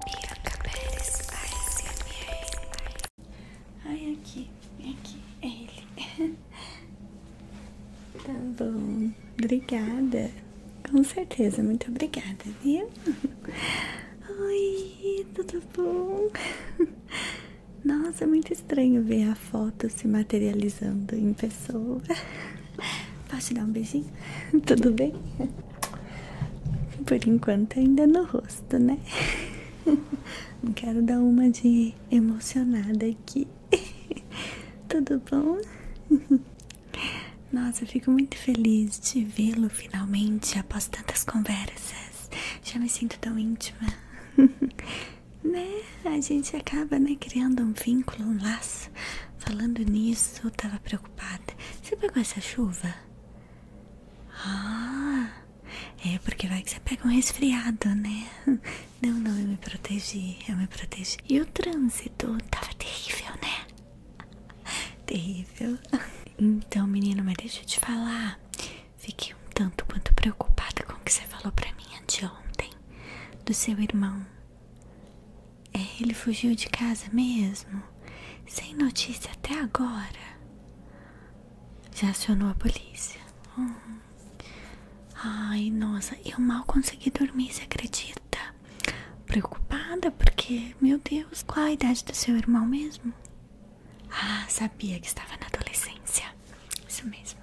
Bianca Pérez ASMR. Ai, aqui, é ele. Tá bom, obrigada. Com certeza, muito obrigada, viu? Oi, tudo bom? Nossa, é muito estranho ver a foto se materializando em pessoa. Posso dar um beijinho? Tudo bem? Por enquanto ainda no rosto, né? Não quero dar uma de emocionada aqui. Tudo bom? Nossa, fico muito feliz de vê-lo finalmente após tantas conversas. Já me sinto tão íntima. Né? A gente acaba, né, criando um vínculo, um laço. Falando nisso, tava preocupada. Você pegou essa chuva? Ah, é porque vai que você pega um resfriado, né? Não, não, eu me protegi, eu me protegi. E o trânsito tava terrível, né? Terrível. Então, menino, mas deixa eu te falar. Fiquei um tanto quanto preocupada com o que você falou pra mim anteontem do seu irmão. É, ele fugiu de casa mesmo? Sem notícia até agora? Já acionou a polícia. Uhum. Ai, nossa, eu mal consegui dormir, você acredita? Preocupada porque, meu Deus, qual a idade do seu irmão mesmo? Ah, sabia que estava na adolescência. Isso mesmo.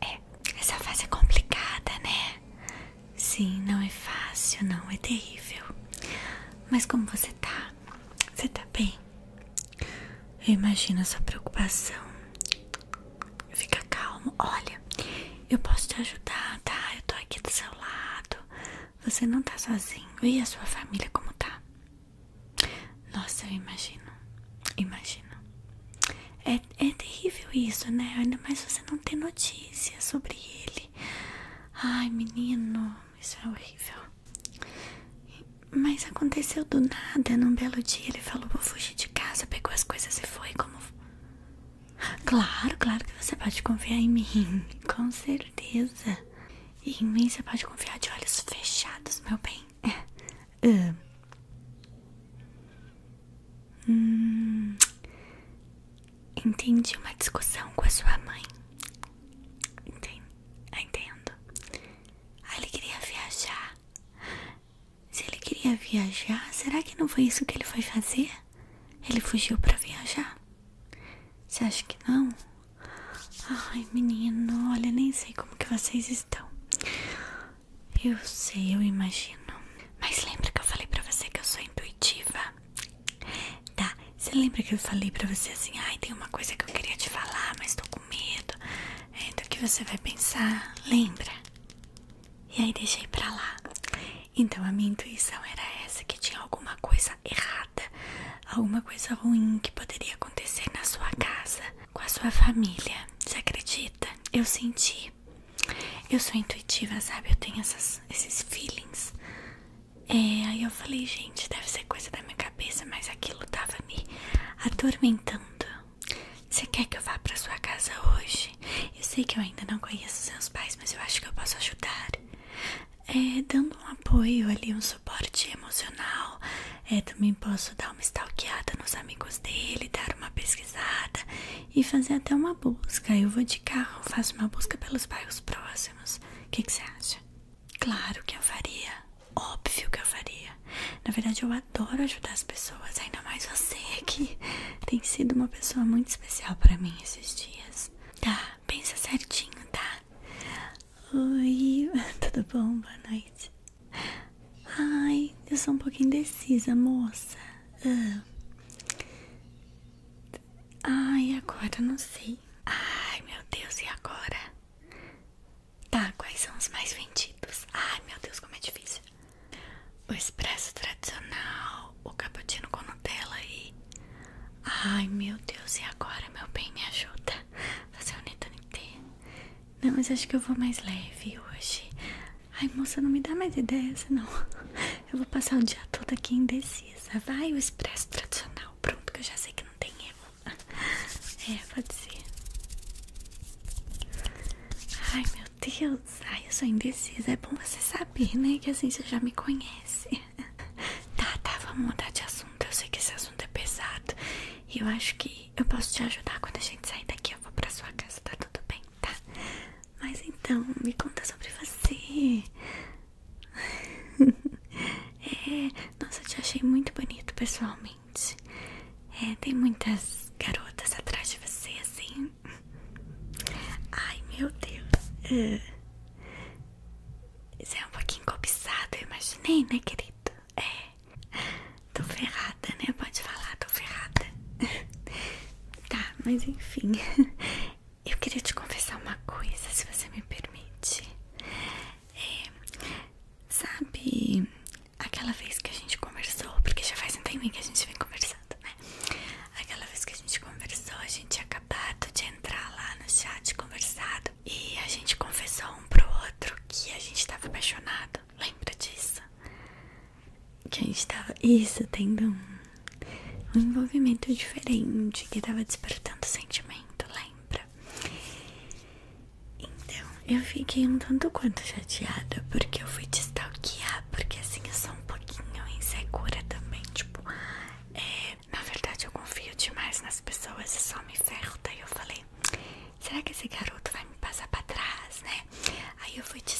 É, essa fase é complicada, né? Sim, não é fácil, não, é terrível. Mas como você tá? Você tá bem? Eu imagino a sua preocupação. Fica calmo. Olha, eu posso te ajudar, tá? Eu tô aqui do seu lado. Você não tá sozinho. E a sua família como tá? Nossa, eu imagino. Imagino. É, é terrível isso, né? Ainda mais você não ter notícias sobre ele. Ai, menino, isso é horrível. Mas aconteceu do nada. Num belo dia ele falou: Vou fugir de casa, pegou as coisas e foi. Como. Claro, claro que você pode confiar em mim. Com certeza. E em mim você pode confiar de olhos fechados, meu bem. Uh. Hum, entendi uma discussão com a sua mãe. Entendo. Ah, ele queria viajar. Se ele queria viajar, será que não foi isso que ele foi fazer? Ele fugiu para viajar? Você acha que não? Ai, menino, olha, nem sei como que vocês estão. Eu sei, eu imagino. Mas lembra que eu falei para você que eu sou intuitiva? Tá, você lembra que eu falei pra você assim, ai, tem uma coisa que eu queria te falar, mas tô com medo. então é, o que você vai pensar, lembra? E aí deixei pra lá. Então a minha intuição era essa, que tinha alguma coisa errada, alguma coisa ruim que poderia acontecer na sua casa, com a sua família. Você acredita? Eu senti. Eu sou intuitiva, sabe? Eu tenho esses feelings. É, aí eu falei, gente, deve ser coisa da minha cabeça, mas aquilo tava me atormentando. Você quer que eu vá pra sua casa hoje? Eu sei que eu ainda não conheço seus pais, mas eu acho que eu posso ajudar. É, dando um apoio ali, um suporte emocional. É, também posso dar uma stalkeada nos amigos dele, dar uma pesquisada e fazer até uma busca. Eu vou de carro, faço uma busca pelos bairros próximos. O que, que você acha? Claro que eu faria. Óbvio que eu faria. Na verdade, eu adoro ajudar as pessoas, ainda mais você que tem sido uma pessoa muito especial para mim esses dias. Tá, pensa certinho, tá? Oi, tudo bom? Boa noite. Ai, eu sou um pouco indecisa, moça. Ah. Ai, agora não sei. Ai, meu Deus, e agora? Tá, quais são os mais vendidos? Ai, meu Deus, como é difícil. O espresso tradicional, o cappuccino com Nutella e... Ai, meu Deus, e agora, meu bem, me ajuda. Fazer o um Netanite. Não, mas acho que eu vou mais leve hoje. Ai, moça, não me dá mais ideia, senão eu vou passar o dia todo aqui indecisa. Vai o expresso tradicional, pronto, que eu já sei que não tem erro. É, pode ser. Ai, meu Deus, ai, eu sou indecisa. É bom você saber, né? Que assim você já me conhece. Tá, tá, vamos mudar de assunto. Eu sei que esse assunto é pesado. E eu acho que eu posso te ajudar quando a gente sair daqui. Eu vou pra sua casa, tá tudo bem? Tá. Mas então, me conta sobre você. é, nossa, eu te achei muito bonito pessoalmente. É, tem muitas garotas atrás de você, assim. Ai, meu Deus. Isso é. é um pouquinho cobiçado, eu imaginei, né, querido? É. Tô ferrada, né? Pode falar, tô ferrada. tá, ah, mas enfim, eu queria te confessar uma coisa, se você me permite. É, sabe, aquela vez que a gente conversou, porque já faz um tempinho que a gente vem conversando, né? Aquela vez que a gente conversou, a gente tinha acabado de entrar lá no chat conversado e a gente confessou um pro outro que a gente tava apaixonado. Lembra disso? que a gente tava, isso, tendo um, envolvimento diferente, que tava despertando sentimento, lembra? Então, eu fiquei um tanto quanto chateada, porque eu fui te porque assim, eu sou um pouquinho insegura também, tipo, é, na verdade eu confio demais nas pessoas e só me ferro, daí eu falei, será que esse garoto vai me passar pra trás, né? Aí eu fui te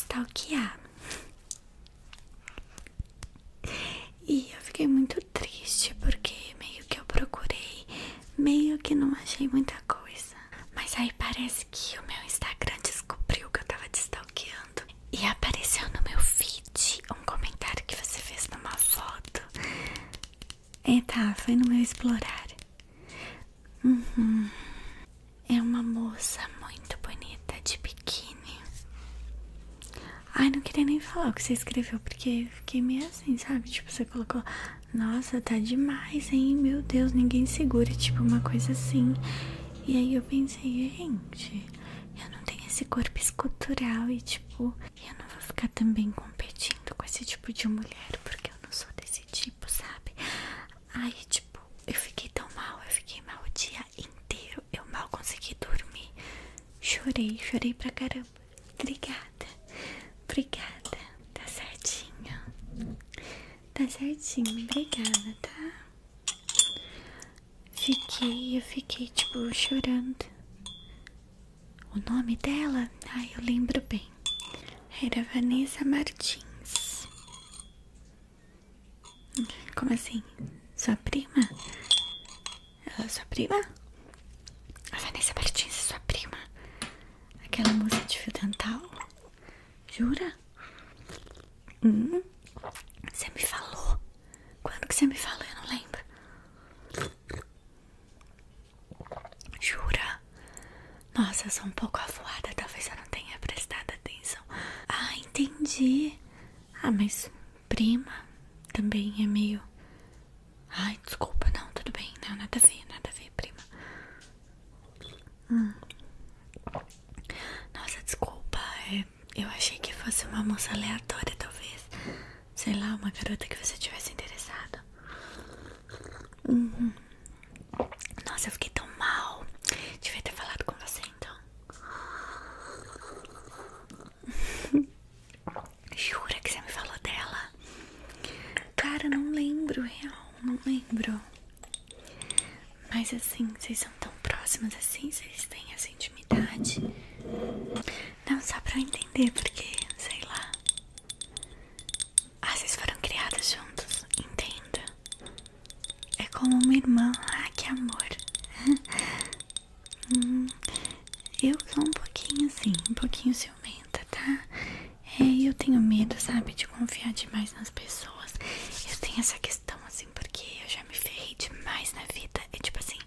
E eu fiquei muito triste porque meio que eu procurei, meio que não achei muita coisa. Mas aí parece que o meu Instagram descobriu que eu tava te E apareceu no meu feed um comentário que você fez numa foto. É, tá, foi no meu explorar. Uhum. É uma moça muito bonita de biquíni. Ai, não queria nem falar o que você escreveu, porque fiquei meio assim, sabe? Tipo, você colocou, nossa, tá demais, hein? Meu Deus, ninguém segura, tipo, uma coisa assim. E aí eu pensei, gente, eu não tenho esse corpo escultural e, tipo, eu não vou ficar também competindo com esse tipo de mulher, porque eu não sou desse tipo, sabe? Ai, tipo. Tipo, eu fiquei tão mal, eu fiquei mal o dia inteiro. Eu mal consegui dormir. Chorei, chorei pra caramba. Obrigada, obrigada. Tá certinho. Tá certinho, obrigada, tá? Fiquei, eu fiquei, tipo, chorando. O nome dela, ai, eu lembro bem. Era Vanessa Martins. Como assim? Sua prima? É sua prima? A Vanessa Martins é sua prima? Aquela moça de fio dental? Jura? Hum? Você me falou? Quando que você me falou? Eu não lembro. Jura? Nossa, eu sou um pouco afuada, talvez eu não tenha prestado atenção. Ah, entendi. Ah, mas prima também é meio. Ai, desculpa, não, tudo bem. Não, nada a ver, nada a ver, prima. Hum. Nossa, desculpa. É, eu achei que fosse uma moça aleatória, talvez. Sei lá, uma garota que você tivesse interessado. Uhum. Nossa, eu fiquei tão mal. Devia ter falado com você então. Jura que você me falou dela? Cara, não lembro, real. Não lembro. Mas assim, vocês são tão próximos assim, vocês têm essa intimidade. Não, só pra eu entender, porque, sei lá. Ah, vocês foram criados juntos, entendo. É como uma irmã. Ah, que amor. Hum, eu sou um pouquinho assim, um pouquinho ciumenta, tá? É, eu tenho medo, sabe, de confiar demais nas pessoas. Eu tenho essa questão assim, porque eu já me ferrei demais na vida. É tipo assim,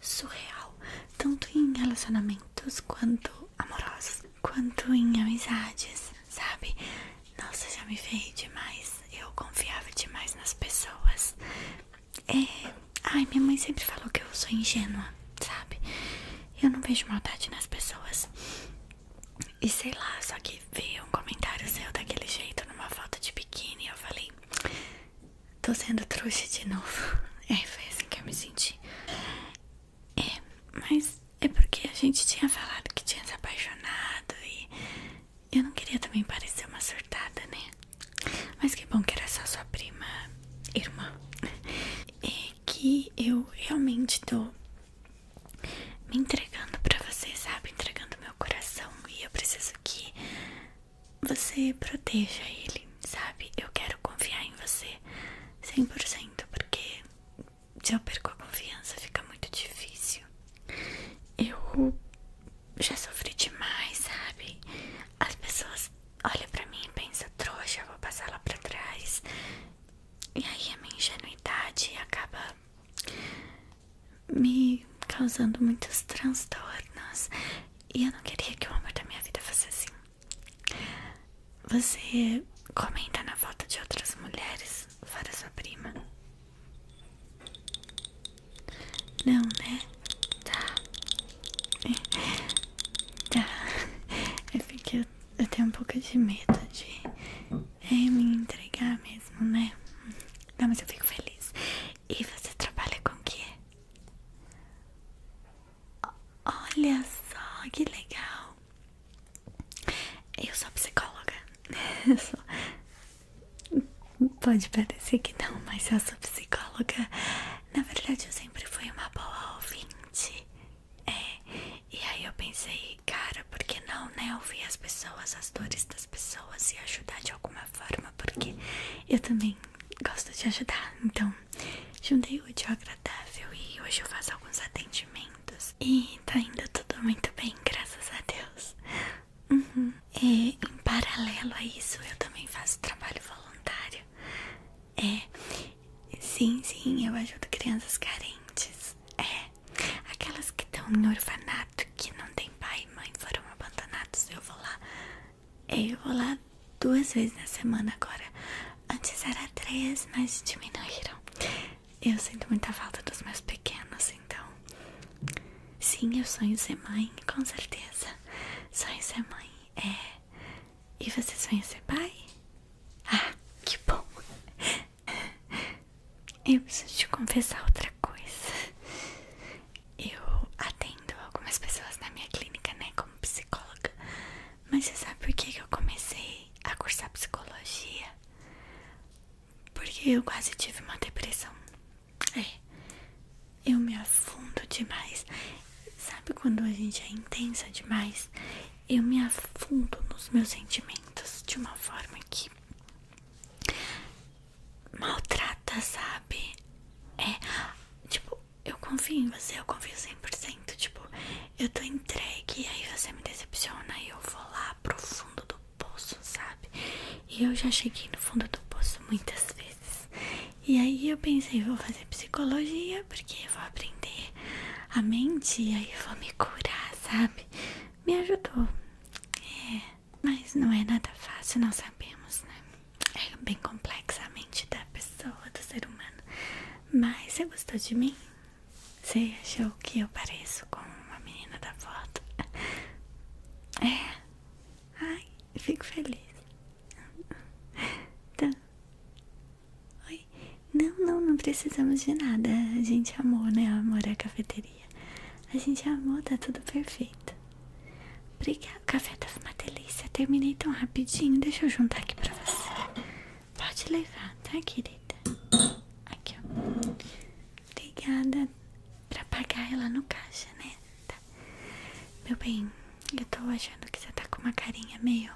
surreal. Tanto em relacionamentos quanto amorosos quanto em amizades, sabe? Nossa, já me veio demais. Eu confiava demais nas pessoas. É... Ai, minha mãe sempre falou que eu sou ingênua, sabe? Eu não vejo maldade nas pessoas. E sei lá, só que veio um comentário seu daquele jeito numa foto de biquíni. E eu falei: Tô sendo trouxa de novo. É, foi assim que eu me senti. É, mas é porque a gente tinha falado que tinha se apaixonado e eu não queria também parecer uma surtada, né? Mas que bom que era só sua prima, irmã. É que eu realmente tô me entregando pra você, sabe? Entregando meu coração e eu preciso que você proteja ele, sabe? Eu quero confiar em você 100% porque se eu perco a confiança, fica muito difícil. Eu já sofri demais, sabe? As pessoas olham pra mim e pensam, trouxa, vou passar lá pra trás. E aí a minha ingenuidade acaba me causando muitos transtornos. E eu não queria que o amor da minha vida fosse assim. Você comenta na volta de outras mulheres, fora sua prima? Não, né? Tá. Tá. É porque eu, eu tenho um pouco de medo de é, me entregar mesmo, né? Não, mas eu fico feliz. E você trabalha com o quê? Olha só que legal. Eu sou psicóloga. Pode parecer que não, mas eu sou psicóloga. Na verdade, eu sempre fui uma boa ouvinte. É, e aí eu pensei, cara, por que não, né? Ouvir as pessoas, as dores das pessoas e ajudar de alguma forma, porque eu também gosto de ajudar. Então, juntei o útil agradável e hoje eu faço alguns atendimentos e tá indo tudo muito bem, graças a Deus. E uhum. é, em paralelo a isso, eu também faço trabalho voluntário. É, sim, sim, eu ajudo crianças carentes. É, aquelas que estão em orfanato, que não tem pai e mãe, foram abandonados. Eu vou lá, é, eu vou lá duas vezes na semana agora. Antes era três, mas diminuíram. Eu sinto muita falta dos meus pequenos, então. Sim, eu sonho ser mãe, com certeza. Sonho ser mãe é. E você sonha ser pai? Ah, que bom! Eu preciso te confessar outra coisa. Eu atendo algumas pessoas na minha clínica, né, como psicóloga. Mas você sabe por que eu comecei a cursar psicologia? Porque eu quase tive uma depressão. É. Eu me afundo demais. Sabe quando a gente é intensa demais? Eu me afundo nos meus sentimentos de uma forma que maltrata, sabe? É. Tipo, eu confio em você, eu confio 100%. Tipo, eu tô entregue, aí você me decepciona e eu vou lá pro fundo do poço, sabe? E eu já cheguei no fundo do poço muitas vezes. E aí eu pensei, vou fazer psicologia porque vou aprender a mente e aí eu vou me curar, sabe? Me ajudou. É, mas não é nada fácil, nós sabemos, né? é bem complexa a mente da pessoa, do ser humano. Mas você gostou de mim? Você achou que eu pareço com uma menina da foto? É? Ai, fico feliz. Então, Oi? Não, não, não precisamos de nada. A gente amou, né? Amor é cafeteria. A gente amou, tá tudo perfeito. Obrigada. O café tava tá uma delícia. Terminei tão rapidinho. Deixa eu juntar aqui pra você. Pode levar, tá, querida? Aqui, ó. Obrigada. Pra pagar ela no caixa, né? Tá. Meu bem, eu tô achando que você tá com uma carinha meio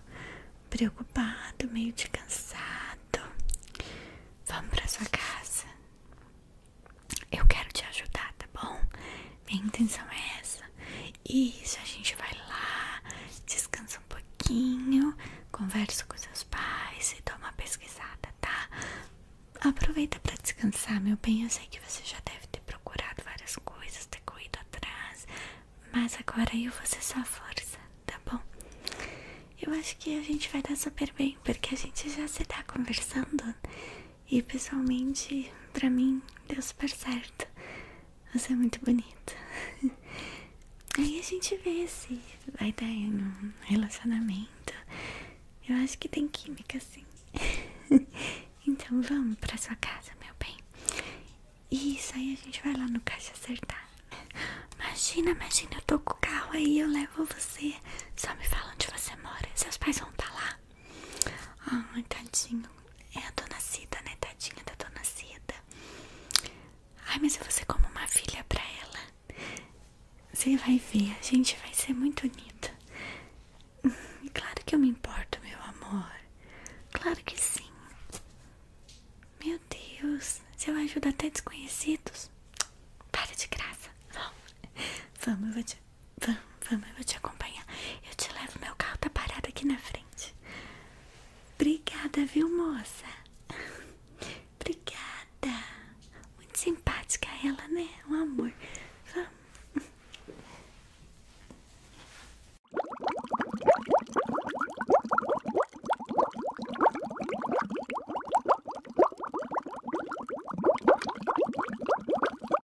preocupado, meio de cansado. Vamos pra sua casa. Eu quero te ajudar, tá bom? Minha intenção é essa. Isso, a gente vai lá, descansa um pouquinho, conversa com seus pais e dá uma pesquisada, tá? Aproveita para descansar, meu bem. Eu sei que você já deve ter procurado várias coisas, ter corrido atrás, mas agora eu vou ser sua força, tá bom? Eu acho que a gente vai dar super bem, porque a gente já se tá conversando. E pessoalmente, pra mim, deu super certo. Você é muito bonita. Aí a gente vê se vai dar em um relacionamento. Eu acho que tem química, sim. então vamos pra sua casa, meu bem. Isso aí a gente vai lá no caixa acertar. Imagina, imagina, eu tô com o carro aí, eu levo você. Só me fala onde você mora. Seus pais vão estar tá lá. Ah, ai, tadinho. É a dona Cida, né? Tadinha da dona Cida. Ai, mas eu vou ser como uma filha pra ela. Você vai ver, a gente vai ser muito unida. Hum, claro que eu me importo, meu amor. Claro que sim. Meu Deus, se eu ajudo até desconhecidos? Para de graça. Vamos, vamos eu vou te Vamos, vamos, eu vou te acompanhar. Eu te levo, meu carro tá parado aqui na frente. Obrigada, viu, moça? Obrigada. Muito simpática ela, né? Um amor. Vamos.